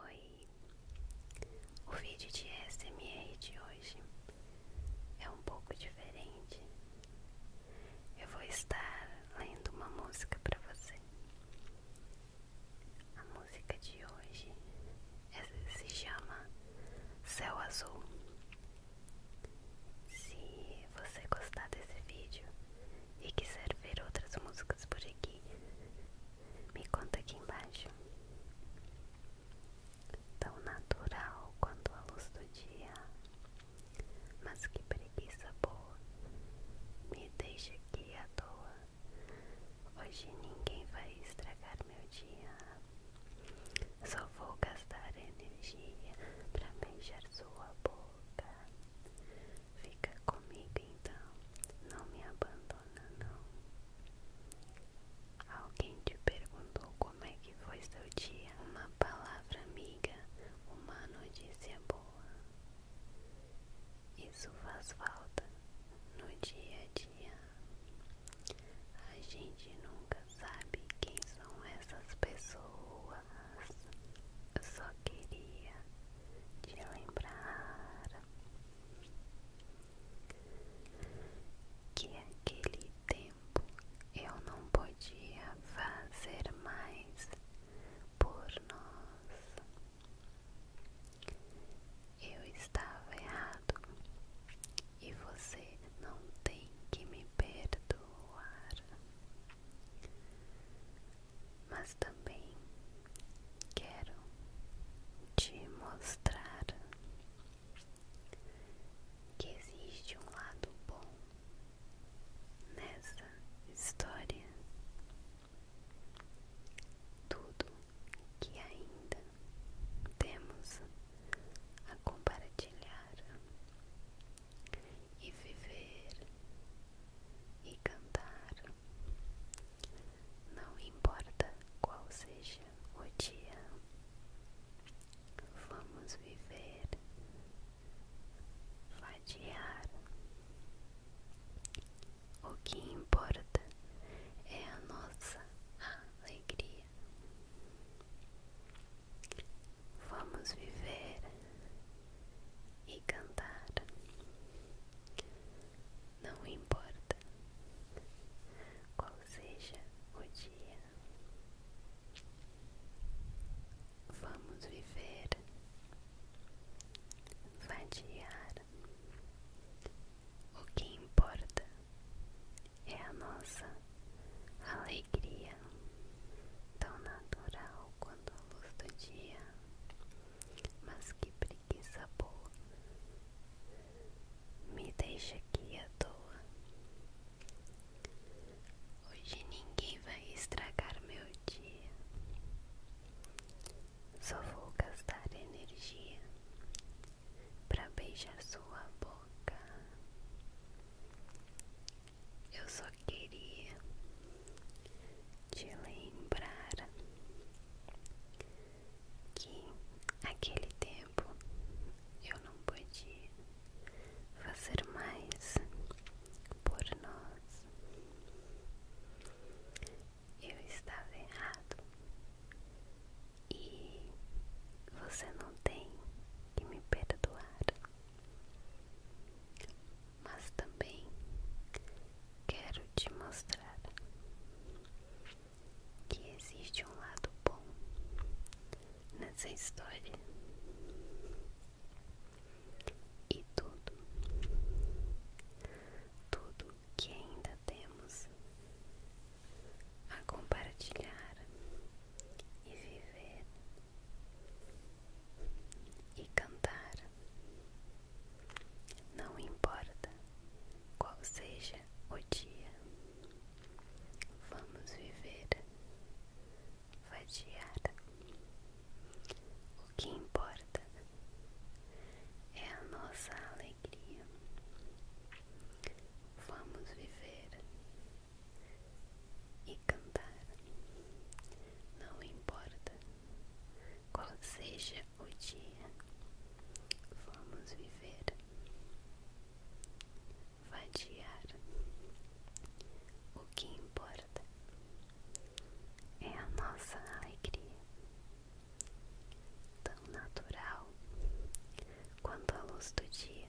Oi, o vídeo de SMR de hoje é um pouco diferente. Eu vou estar lendo uma música para você. A música de hoje se chama Céu Azul. Se você gostar desse vídeo e quiser ver outras músicas por aqui, me conta aqui embaixo. Tão natural quanto a luz do dia, mas que preguiça boa. Me deixa aqui à toa. Hoje ninguém vai estragar meu dia. Só vou gastar energia pra beijar sua boca. Fica comigo então, não me abandone maratona, não. Alguém te perguntou como é que foi seu dia? Uma palavra amiga, uma notícia boa. Isso faz falta no dia a dia. A gente nunca sabe quem são essas pessoas. Eu só queria te lembrar que aquele tempo eu não podia fazer mais por nós. Eu estava errado e você não tem que me perdoar mas também quero te mostrar que existe um lado bom nessa história. Tudo que ainda temos a compartilhar e viver e cantar não importa qual seja o dia, vamos viver, vadiar. O que importa é a nossa alegria. Vamos viver e cantar. Não importa qual seja o dia, vamos viver, vadiar. O que importa é a nossa alegria, tão natural quanto a luz do dia. Mas que preguiça boa. Me deixa aqui à toa. Hoje ninguém vai estragar meu dia. Só vou gastar energia pra beijar sua boca. Eu só queria te lembrar que aquele tempo eu não podia fazer mais por nós. Eu estava errado e você não tem que me perdoar, mas também Quero te mostrar que existe um lado bom nessa história e tudo, tudo que ainda temos a compartilhar e viver e cantar não importa qual seja o dia, vamos viver, fatiada O que importa é a nossa alegria. Vamos viver e cantar. Não importa qual seja o dia, vamos viver, vadiar. O que importa é a nossa alegria, tão natural quanto a luz do dia.